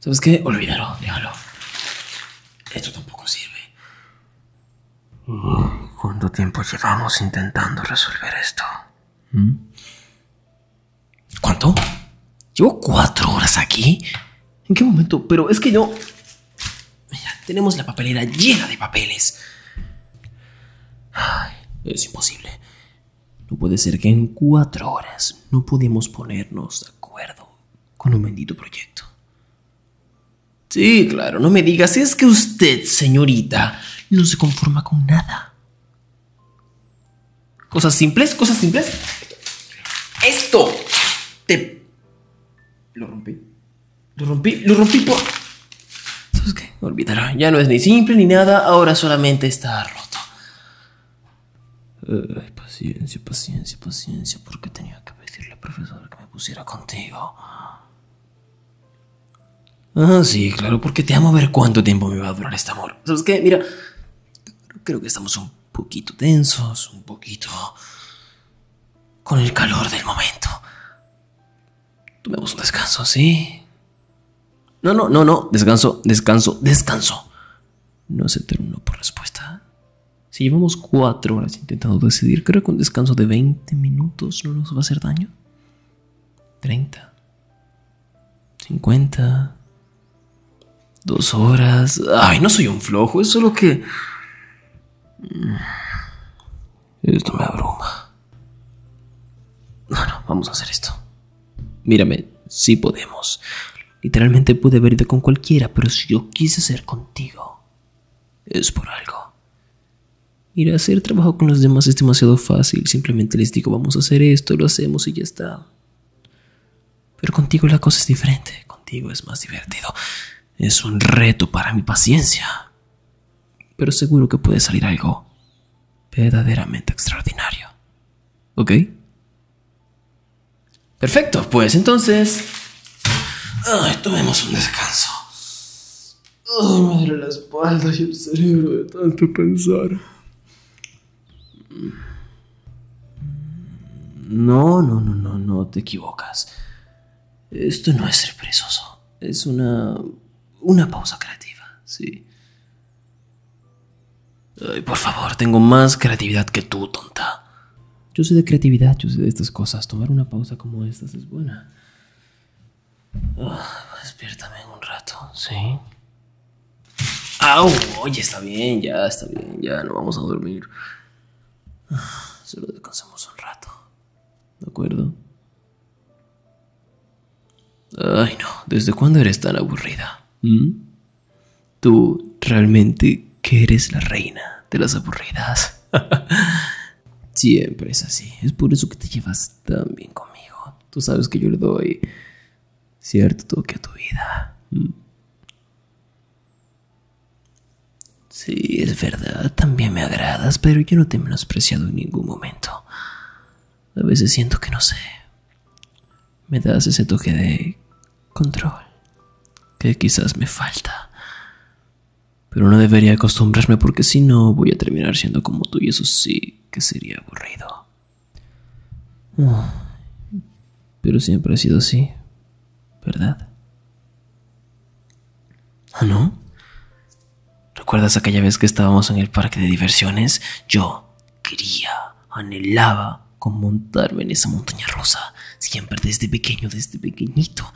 ¿Sabes qué? Olvídalo, déjalo. Esto tampoco sirve. ¿Cuánto tiempo llevamos intentando resolver esto? ¿Mm? ¿Cuánto? ¿Llevo cuatro horas aquí? ¿En qué momento? Pero es que yo... Mira, tenemos la papelera llena de papeles. Ay, es imposible. No puede ser que en cuatro horas no pudimos ponernos de acuerdo con un bendito proyecto. Sí, claro, no me digas, es que usted, señorita, no se conforma con nada. Cosas simples, cosas simples. Esto te... Lo rompí. Lo rompí, lo rompí por... ¿Sabes qué? Olvídalo. Ya no es ni simple ni nada, ahora solamente está roto paciencia, paciencia, paciencia, porque tenía que pedirle al profesor que me pusiera contigo. Ah, sí, claro, porque te amo a ver cuánto tiempo me va a durar este amor. ¿Sabes qué? Mira, creo que estamos un poquito tensos, un poquito con el calor del momento. Tomemos un descanso, ¿sí? No, no, no, no, descanso, descanso, descanso. No se terminó por respuesta. Si llevamos cuatro horas intentando decidir, creo que un descanso de 20 minutos no nos va a hacer daño. 30. 50. Dos horas. Ay, no soy un flojo, es solo que... Mm, esto me abruma. No, vamos a hacer esto. Mírame, si podemos. Literalmente pude haber ido con cualquiera, pero si yo quise ser contigo, es por algo. Ir a hacer trabajo con los demás es demasiado fácil, simplemente les digo vamos a hacer esto, lo hacemos y ya está. Pero contigo la cosa es diferente, contigo es más divertido. Es un reto para mi paciencia. Pero seguro que puede salir algo verdaderamente extraordinario. ¿Ok? Perfecto, pues entonces. ah tomemos un descanso. Oh, madre las la y el cerebro de tanto pensar. No, no, no, no, no te equivocas. Esto no es ser Es una. una pausa creativa, sí. Ay, por favor, tengo más creatividad que tú, tonta. Yo sé de creatividad, yo sé de estas cosas. Tomar una pausa como estas es buena. Ah, despiértame un rato, ¿sí? ¡Au! Oye, está bien, ya, está bien, ya, no vamos a dormir. Ah, solo descansemos un rato. ¿De acuerdo? Ay, no, ¿desde cuándo eres tan aburrida? ¿Mm? Tú realmente que eres la reina de las aburridas. Siempre es así. Es por eso que te llevas tan bien conmigo. Tú sabes que yo le doy cierto toque a tu vida. Mm. Sí, es verdad. También me agradas, pero yo no te he menospreciado en ningún momento. A veces siento que no sé me das ese toque de control que quizás me falta. Pero no debería acostumbrarme porque si no voy a terminar siendo como tú y eso sí que sería aburrido. Pero siempre ha sido así, ¿verdad? ¿Ah, no? ¿Recuerdas aquella vez que estábamos en el parque de diversiones? Yo, quería, anhelaba con montarme en esa montaña rosa siempre desde pequeño, desde pequeñito.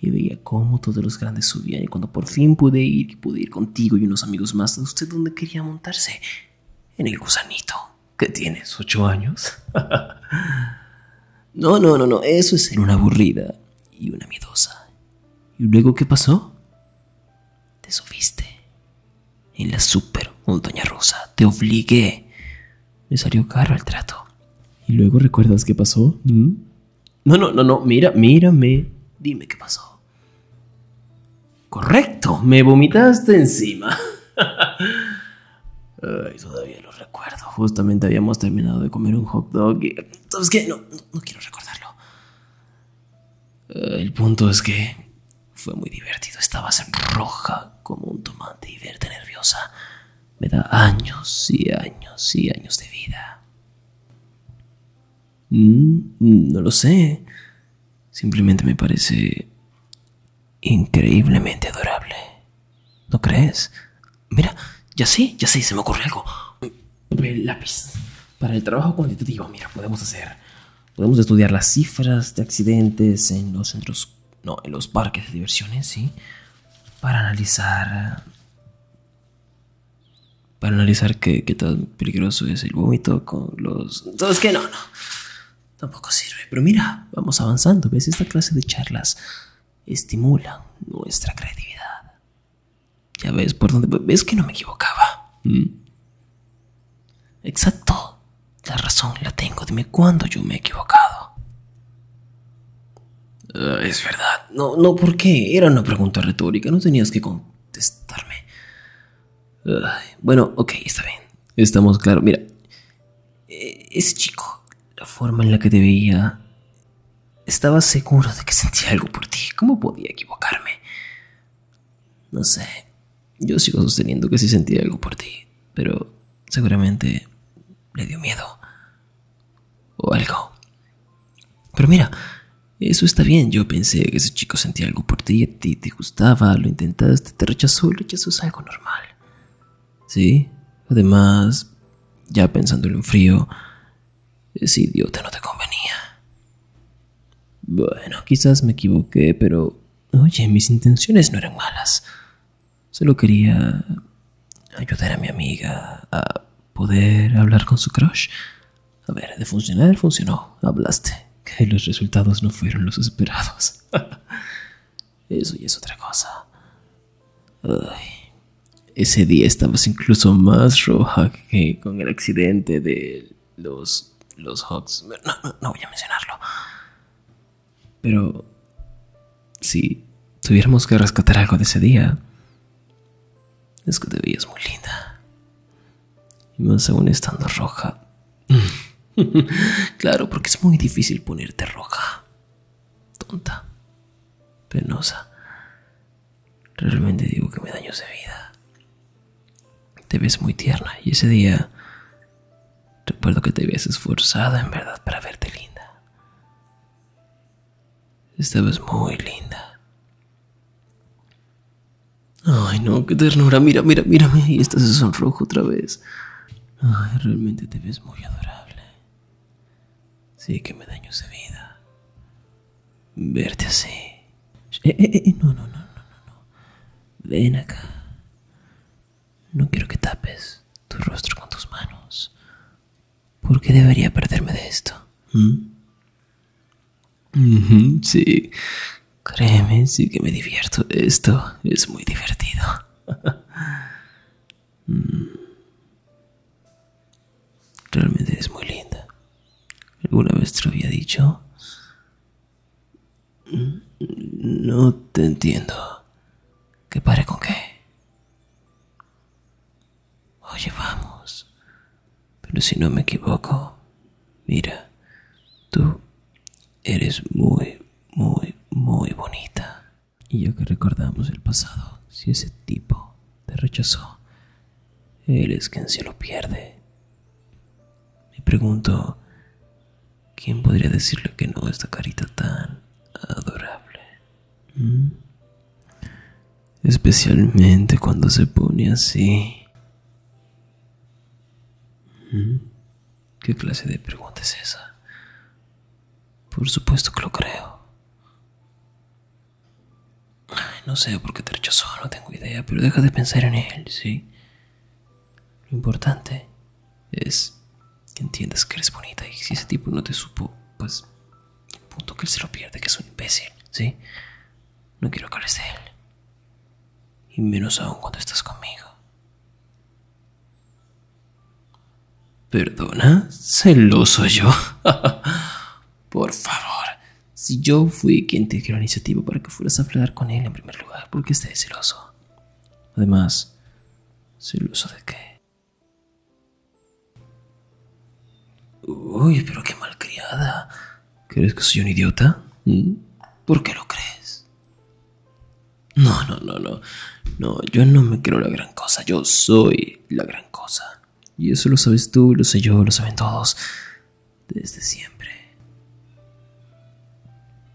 Y veía cómo todos los grandes subían y cuando por fin pude ir pude ir contigo y unos amigos más, ¿usted dónde quería montarse? En el gusanito. ¿Qué tienes? ¿Ocho años? no, no, no, no, eso es ser una aburrida y una miedosa. ¿Y luego qué pasó? Te subiste en la super, montaña Doña Rosa, te obligué. Me salió caro el trato. ¿Y luego recuerdas qué pasó? ¿Mm? No, no, no, no, mira, mírame. Dime qué pasó. Correcto, me vomitaste encima. todavía lo recuerdo. Justamente habíamos terminado de comer un hot dog y... ¿Sabes qué? No, no, quiero recordarlo. Eh, el punto es que fue muy divertido, estabas roja como un tomate y verte nerviosa me da años y años y años de vida. Mm, mm, no lo sé. Simplemente me parece increíblemente adorable. ¿No crees? Mira, ya sé, ya sé, se me ocurre algo. Mm, lápiz. Para el trabajo cuantitativo, mira, podemos hacer Podemos estudiar las cifras de accidentes en los centros, no, en los parques de diversiones, ¿sí? Para analizar... Para analizar qué, tan peligroso es el vómito con los... Entonces, que no, no. Tampoco sirve. Pero mira, vamos avanzando. ¿Ves? Esta clase de charlas estimula nuestra creatividad. Ya ves por dónde... ¿Ves que no me equivocaba? Mm. Exacto. La razón la tengo. Dime cuándo yo me he equivocado. Ah, es verdad. No, no, ¿por qué? Era una pregunta retórica. No tenías que contestarme. bueno, ok, está bien. Estamos claros. Mira, eh, ese chico, la forma en la que te veía, estaba seguro de que sentía algo por ti. ¿Cómo podía equivocarme? No sé. Yo sigo sosteniendo que sí sentía algo por ti, pero seguramente le dio miedo. O algo. Pero mira, eso está bien. Yo pensé que ese chico sentía algo por ti, a ti te gustaba, lo intentaste, te rechazó, el rechazo es algo normal. ¿Sí? Además, ya pensándolo en frío, ese idiota no te convenía. Bueno, quizás me equivoqué, pero Oye, mis intenciones no eran malas. Solo quería ayudar a mi amiga a poder hablar con su crush. A ver, de funcionar, funcionó. Hablaste. Que los resultados no fueron los esperados. Eso ya es otra cosa. ese día estabas incluso más roja que con el accidente de los, los Hawks. no voy a mencionarlo. Pero si tuviéramos que rescatar algo de ese día, es que te veías muy linda. Y más aún estando roja. claro, porque es muy difícil ponerte roja. Tonta. Penosa. Realmente digo que me daños de vida. Te ves muy tierna y ese día Recuerdo que te habías esforzado en verdad para verte linda. Estabas muy linda. Ay, no, qué ternura. Mira, mira, mírame. Y esta se sonrojo otra vez. Ay, realmente te ves muy adorable. Sí, que me daño esa vida. Verte así. Eh, eh, eh, no, no, no, no, no. Ven acá. No quiero que tapes tu rostro con tus manos. ¿Por qué debería perderme de esto? ¿Mm? sí, créeme, sí que me divierto. de Esto es muy divertido. Mm. Realmente es muy linda. ¿Alguna vez te lo había dicho? No te entiendo. ¿Qué pare con qué? Oye, vamos. Pero si no me equivoco, mira, tú eres muy, muy, muy bonita. Y ya que recordamos el pasado, si ese tipo te rechazó, él es quien se lo pierde. Me pregunto, ¿quién podría decirle que no a esta carita tan adorable? ¿Mm? Especialmente cuando se pone así. ¿Mm? ¿Qué clase de pregunta es esa? Por supuesto que lo creo. no sé por qué te rechazó, no tengo idea, pero deja de pensar en él, ¿sí? Lo importante es que entiendas que eres bonita y si ese tipo no te supo, pues un punto que él se lo pierde, que es un imbécil, ¿sí? No quiero que hables de él. Y menos aún cuando estás conmigo. ¿Perdona? ¿Celoso yo? Por favor, si yo fui quien te dio la iniciativa para que fueras a hablar con él en primer lugar, ¿por qué estás celoso? Además, ¿soy uso de qué? Uy, pero qué malcriada. ¿Crees que soy un idiota? ¿Mm? ¿Por qué lo crees? No, no, no, no. No, yo no me creo la gran cosa. Yo soy la gran cosa. Y eso lo sabes tú, lo sé yo, lo saben todos. Desde siempre.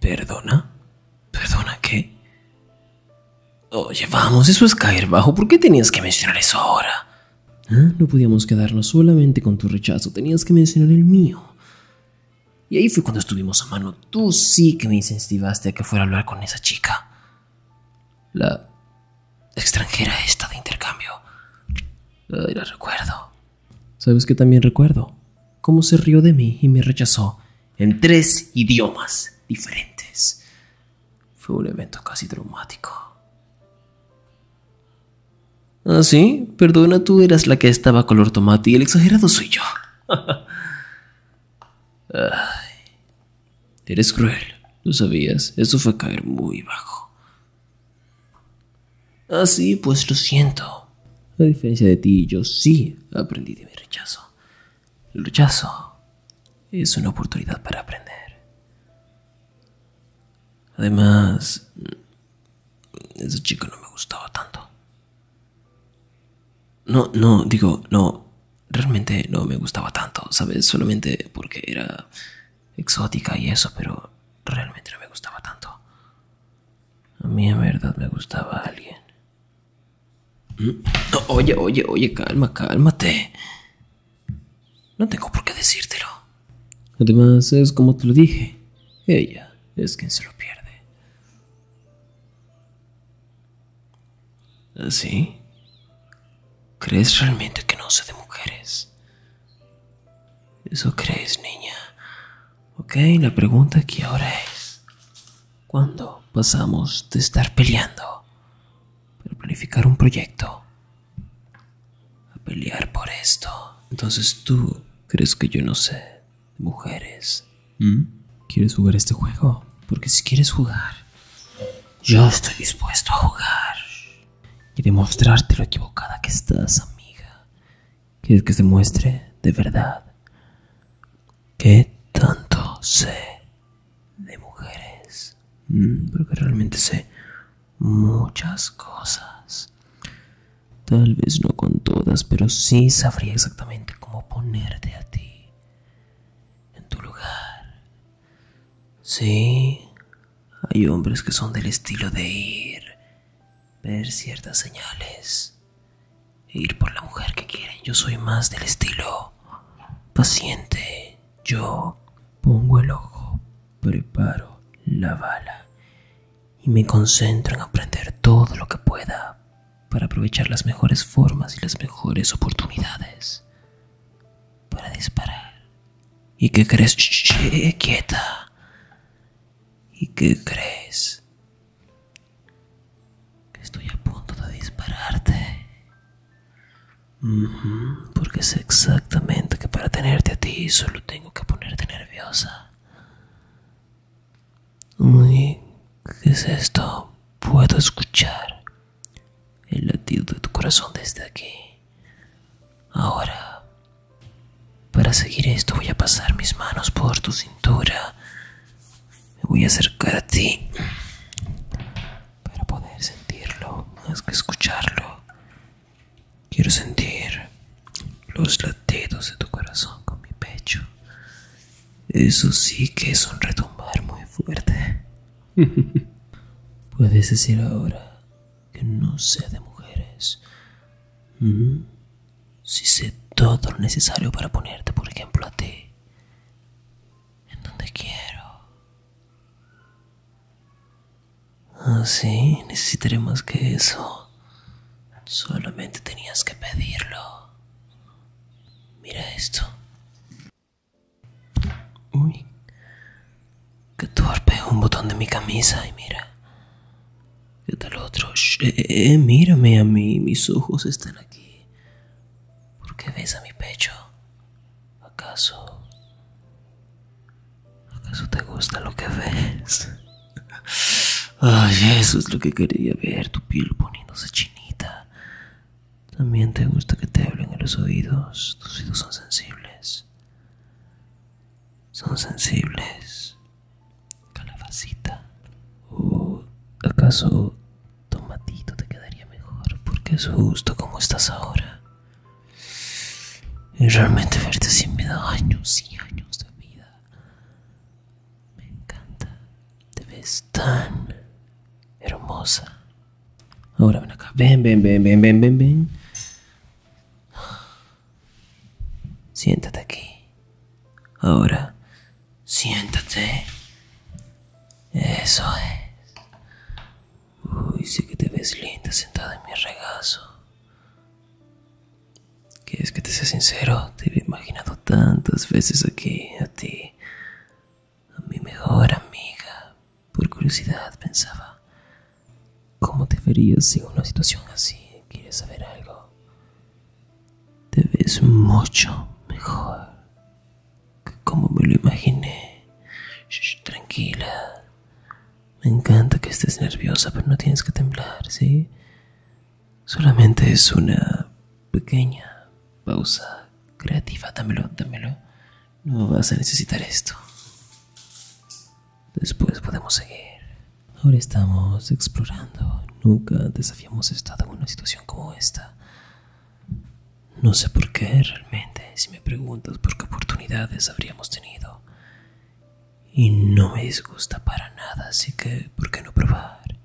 ¿Perdona? ¿Perdona qué? Oye, vamos, eso es caer bajo. ¿Por qué tenías que mencionar eso ahora? ¿Ah? No podíamos quedarnos solamente con tu rechazo, tenías que mencionar el mío. Y ahí fue cuando estuvimos a mano. Tú sí que me incentivaste a que fuera a hablar con esa chica. La extranjera esta de intercambio. la recuerdo. ¿Sabes qué también recuerdo? Cómo se rió de mí y me rechazó en tres idiomas diferentes. Fue un evento casi traumático. Ah, sí, perdona, tú eras la que estaba color tomate y el exagerado soy yo. eres cruel, lo sabías. Eso fue caer muy bajo. Ah, sí, pues lo siento. A diferencia de ti, yo sí aprendí de mi rechazo. El rechazo es una oportunidad para aprender. Además, ese chico no me gustaba tanto. No, no, digo, no, realmente no me gustaba tanto, ¿sabes? Solamente porque era exótica y eso, pero realmente no me gustaba tanto. A mí en verdad me gustaba alguien. Mm. Oye, oye, oye, calma, cálmate. No tengo por qué decírtelo. Además, es como te lo dije. Ella es quien se lo pierde. ¿Así? ¿Ah, ¿Crees realmente que no sé de mujeres? Eso crees, niña. Ok, la pregunta aquí ahora es, ¿cuándo pasamos de estar peleando para planificar un proyecto a pelear por esto? Entonces tú crees que yo no sé, mujeres. ¿Mm? ¿Quieres jugar este juego? Porque si quieres jugar, yo estoy dispuesto a jugar y demostrarte lo equivocada que estás, amiga quieres que se muestre de verdad que tanto sé de mujeres, mm, porque realmente sé muchas cosas. Tal vez no con todas, pero sí sabría exactamente cómo ponerte a ti en tu lugar. Sí, hay hombres que son del estilo de ir, ver ciertas señales e ir por la mujer que quieren. Yo soy más del estilo paciente. Yo pongo el ojo, preparo la bala y me concentro en aprender todo lo que pueda para aprovechar las mejores formas y las mejores oportunidades para disparar. ¿Y qué crees? che quieta. ¿Y qué crees? que estoy a punto de dispararte. porque sé exactamente que para tenerte a ti solo tengo que ponerte nerviosa. ¿Y qué es esto? Puedo escuchar el latido de tu corazón desde aquí. Ahora, para seguir esto voy a pasar mis manos por tu cintura me voy a acercar a ti para poder sentirlo más que escucharlo. Quiero sentir los latidos de tu corazón con mi pecho. Eso sí que es un retumbar muy fuerte. Puedes decir ahora que no sé de mujeres. Mm-hmm si sé todo lo necesario para ponerte, por ejemplo, a ti, en donde quiero. Ah, sí, necesitaré más que eso. Solamente tenías que pedirlo. Mira esto. Uy, que torpe, un botón de mi camisa y mira. ¿Qué tal otro? Eh, eh, eh, mírame a mí, mis ojos están aquí. ¿Por qué ves a mi pecho? ¿Acaso... ¿Acaso te gusta lo que ves? Ay, eso es lo que quería ver, tu piel poniéndose chinita. También te gusta que te hablen en los oídos, tus oídos son sensibles. Son sensibles calabacita o uh, acaso tomatito te quedaría mejor porque es justo como estás ahora y realmente verte así me da años y años de vida me encanta te ves tan hermosa ahora ven acá ven ven ven ven ven ven ven siéntate aquí ahora Siéntate. Eso es. Uy, sé que te ves linda sentada en mi regazo. es que te sea sincero? Te he imaginado tantas veces aquí, a ti, a mi mejor amiga. Por curiosidad pensaba, ¿cómo te verías en una situación así? ¿Quieres saber algo? Te ves mucho mejor que como me lo imaginé. tranquila. Me encanta que estés nerviosa, pero no tienes que temblar, ¿sí? Solamente es una pequeña pausa creativa. Dámelo, dámelo. No vas a necesitar esto. Después podemos seguir. Ahora estamos explorando Nunca antes estado en una situación como esta. No sé por qué realmente, si me preguntas por qué oportunidades habríamos tenido. Y no me disgusta para nada, así que, ¿por qué no probar?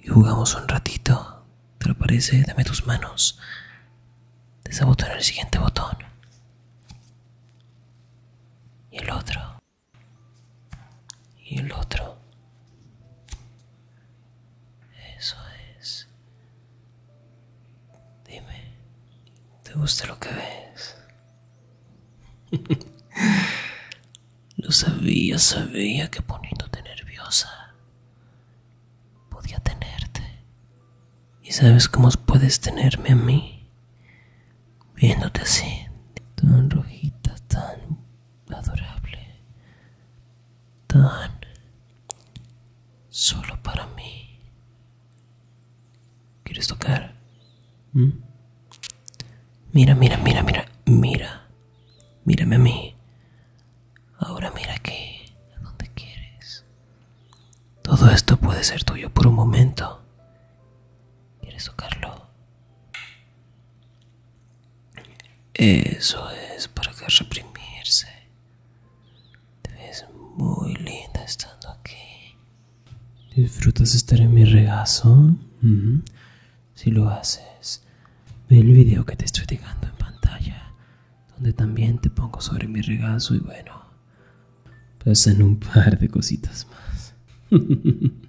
Y jugamos un ratito. ¿Te lo parece? Dame tus manos. en el siguiente botón. Y el otro y el otro. Eso es. Dime, ¿te gusta lo que ves? lo sabía, sabía que poniéndote nerviosa podía tenerte. ¿Y sabes cómo puedes tenerme a mí? Viéndote así, tan rojita, tan adorable, tan solo para mí. ¿Quieres tocar? ¿Mm? Mira, mira, mira, mira, mira. Mírame a mí. Ahora mira aquí, a donde quieres. Todo esto puede ser tuyo por un momento. ¿Quieres tocarlo? Eso es, ¿para que reprimirse? Te ves muy linda estando aquí. ¿Disfrutas estar en mi regazo? Si lo haces, ve el video que te estoy dejando en pantalla, donde también te pongo sobre mi regazo y bueno, en un par de cositas más.